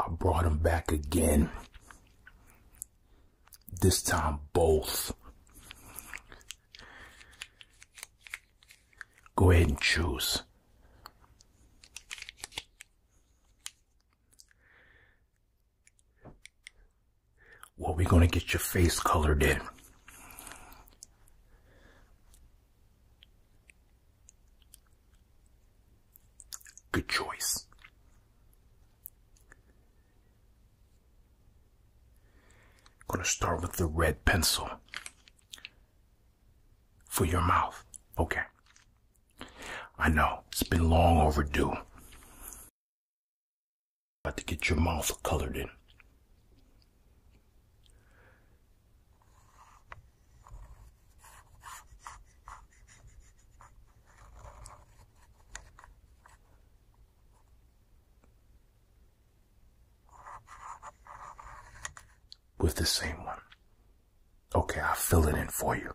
I brought them back again. This time, both. Go ahead and choose. Well, we going to get your face colored in. Good choice. Going to start with the red pencil for your mouth. Okay. I know it's been long overdue. About to get your mouth colored in. With the same one. Okay, I'll fill it in for you.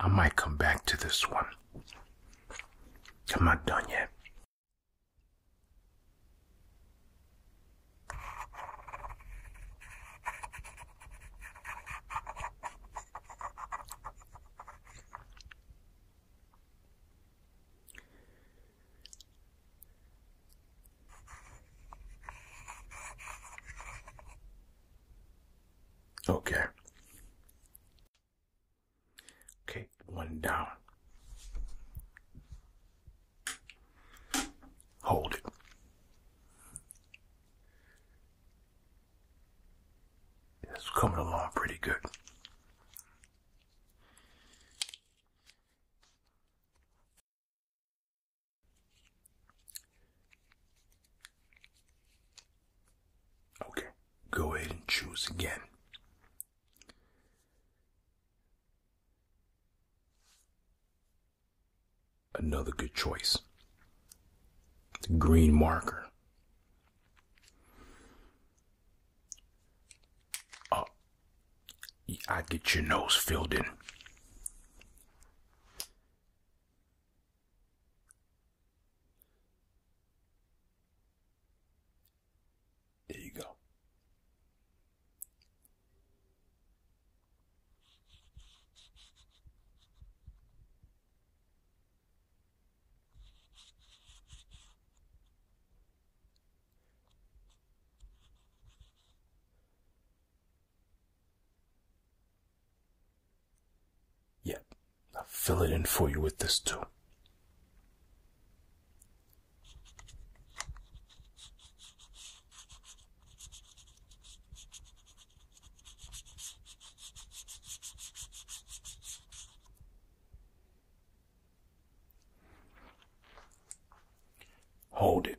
I might come back to this one. I'm not done yet. Okay. Okay, one down. Hold it. It's coming along pretty good. Okay, go ahead and choose again. Another good choice. The green marker. Oh, I get your nose filled in. There you go. Yep, I'll fill it in for you with this too. Hold it.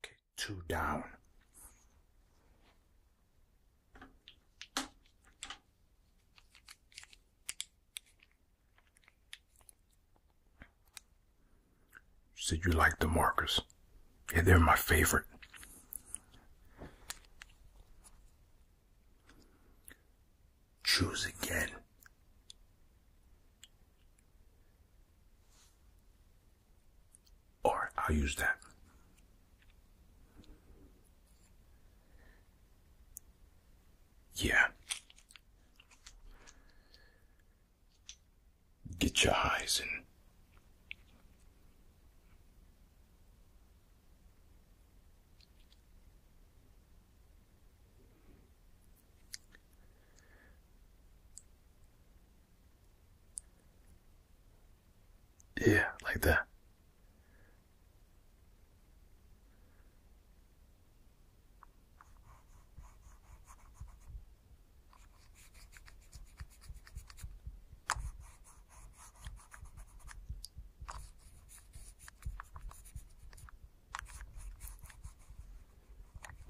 Okay, two down. said you like the markers. Yeah, they're my favorite. Choose again. Or I'll use that. Yeah. Get your eyes in. Yeah, like that.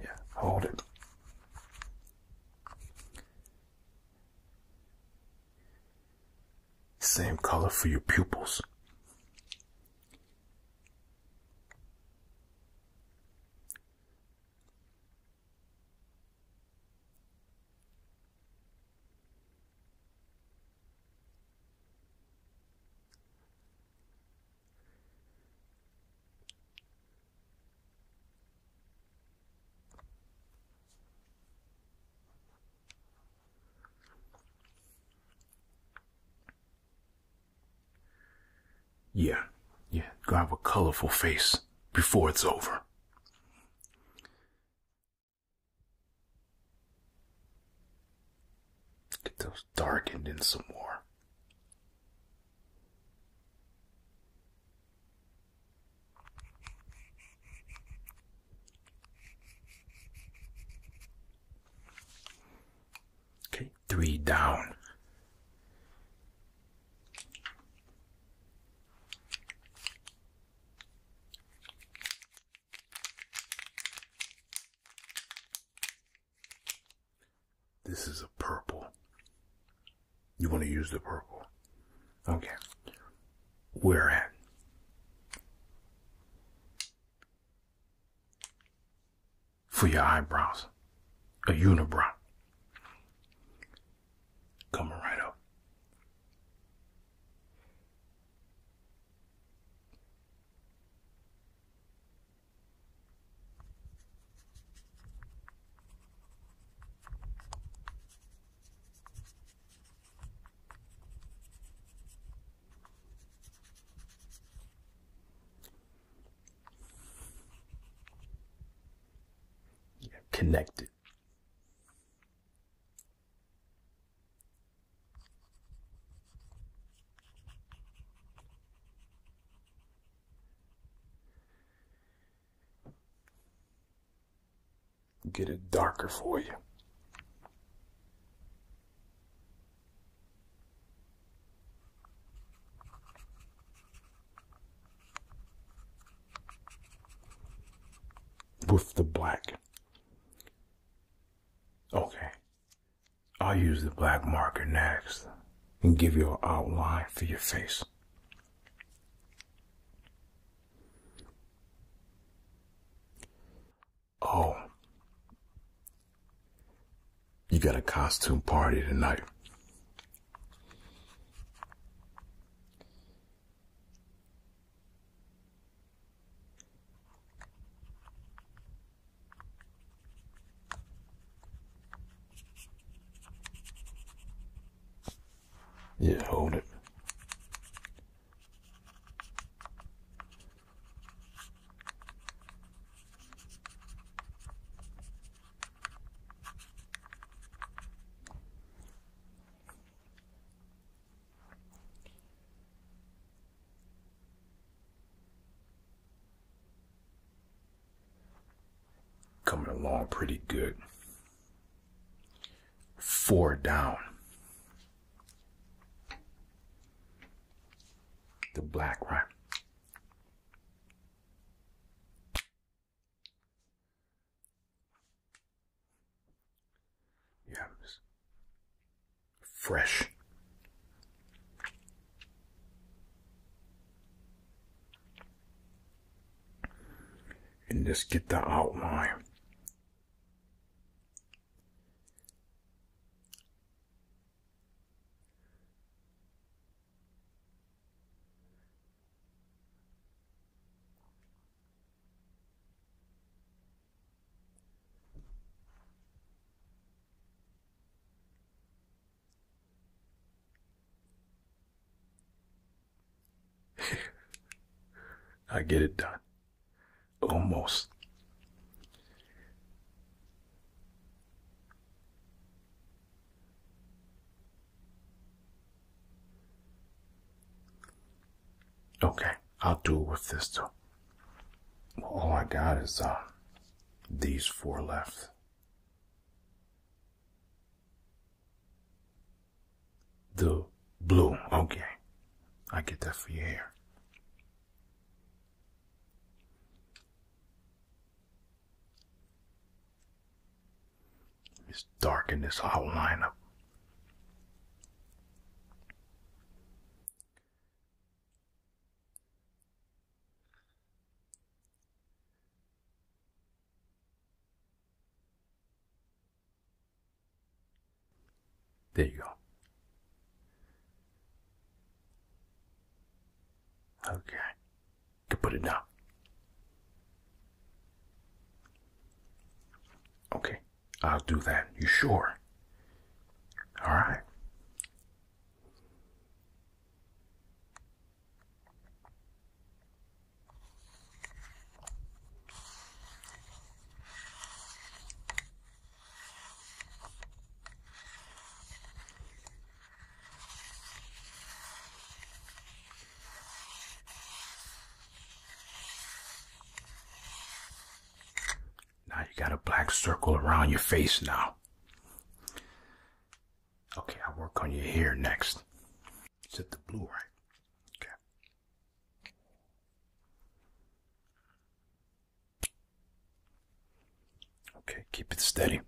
Yeah, hold it. Same color for your pupils. Yeah, yeah, Grab a colorful face before it's over. Get those darkened in some more. Okay, three down. This is a purple. You want to use the purple. Okay. Where at? For your eyebrows. A unibrow. Coming right up. Yeah, connected. Get it darker for you. With the black. Okay. I'll use the black marker next and give you an outline for your face. Oh, you got a costume party tonight. Yeah, hold it. Coming along pretty good. Four down. The black, right? Yeah, fresh. And just get the outline. I get it done. Almost. Okay, I'll do with this too. Well, all I got is uh, these four left. The blue, okay. I get that for you here. It's dark in this outline up. There you go. Okay. You put it down. Okay. I'll do that. You sure? All right. Now you got a black circle around your face now. Okay, I'll work on your hair next. Is it the blue, right? Okay. Okay, keep it steady.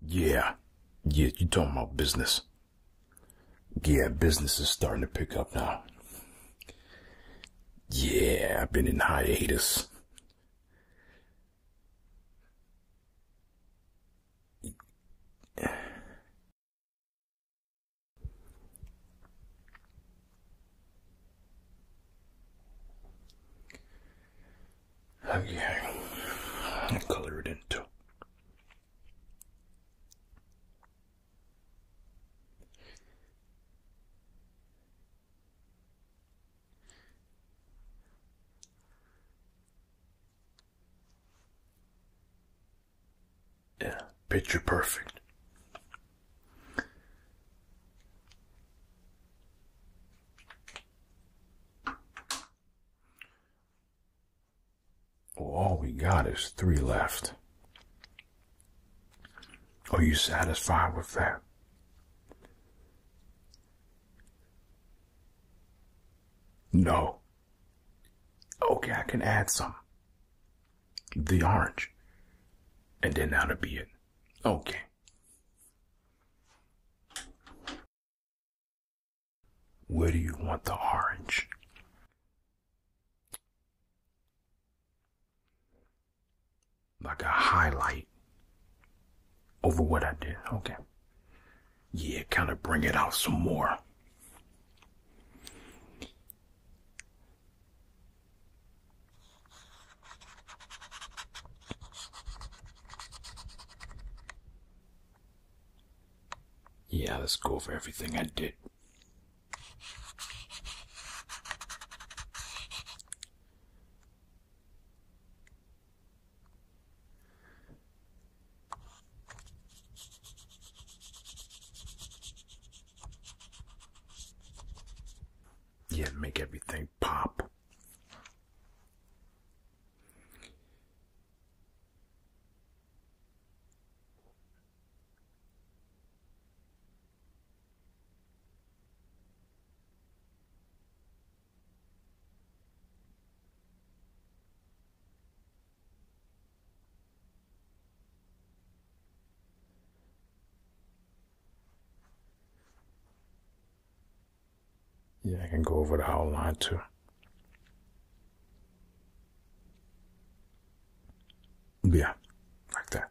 Yeah. Yeah, you talking about business. Yeah, business is starting to pick up now. Yeah, I've been in hiatus. Okay, i color it in Yeah, picture perfect all we got is three left. Are you satisfied with that? No. Okay, I can add some the orange. And then that'll be it. Okay. Where do you want the orange? Like a highlight over what I did. Okay. Yeah, kind of bring it out some more. Yeah, let's go over everything I did. Yeah, make everything pop. Yeah, I can go over the whole line too. Yeah, like that.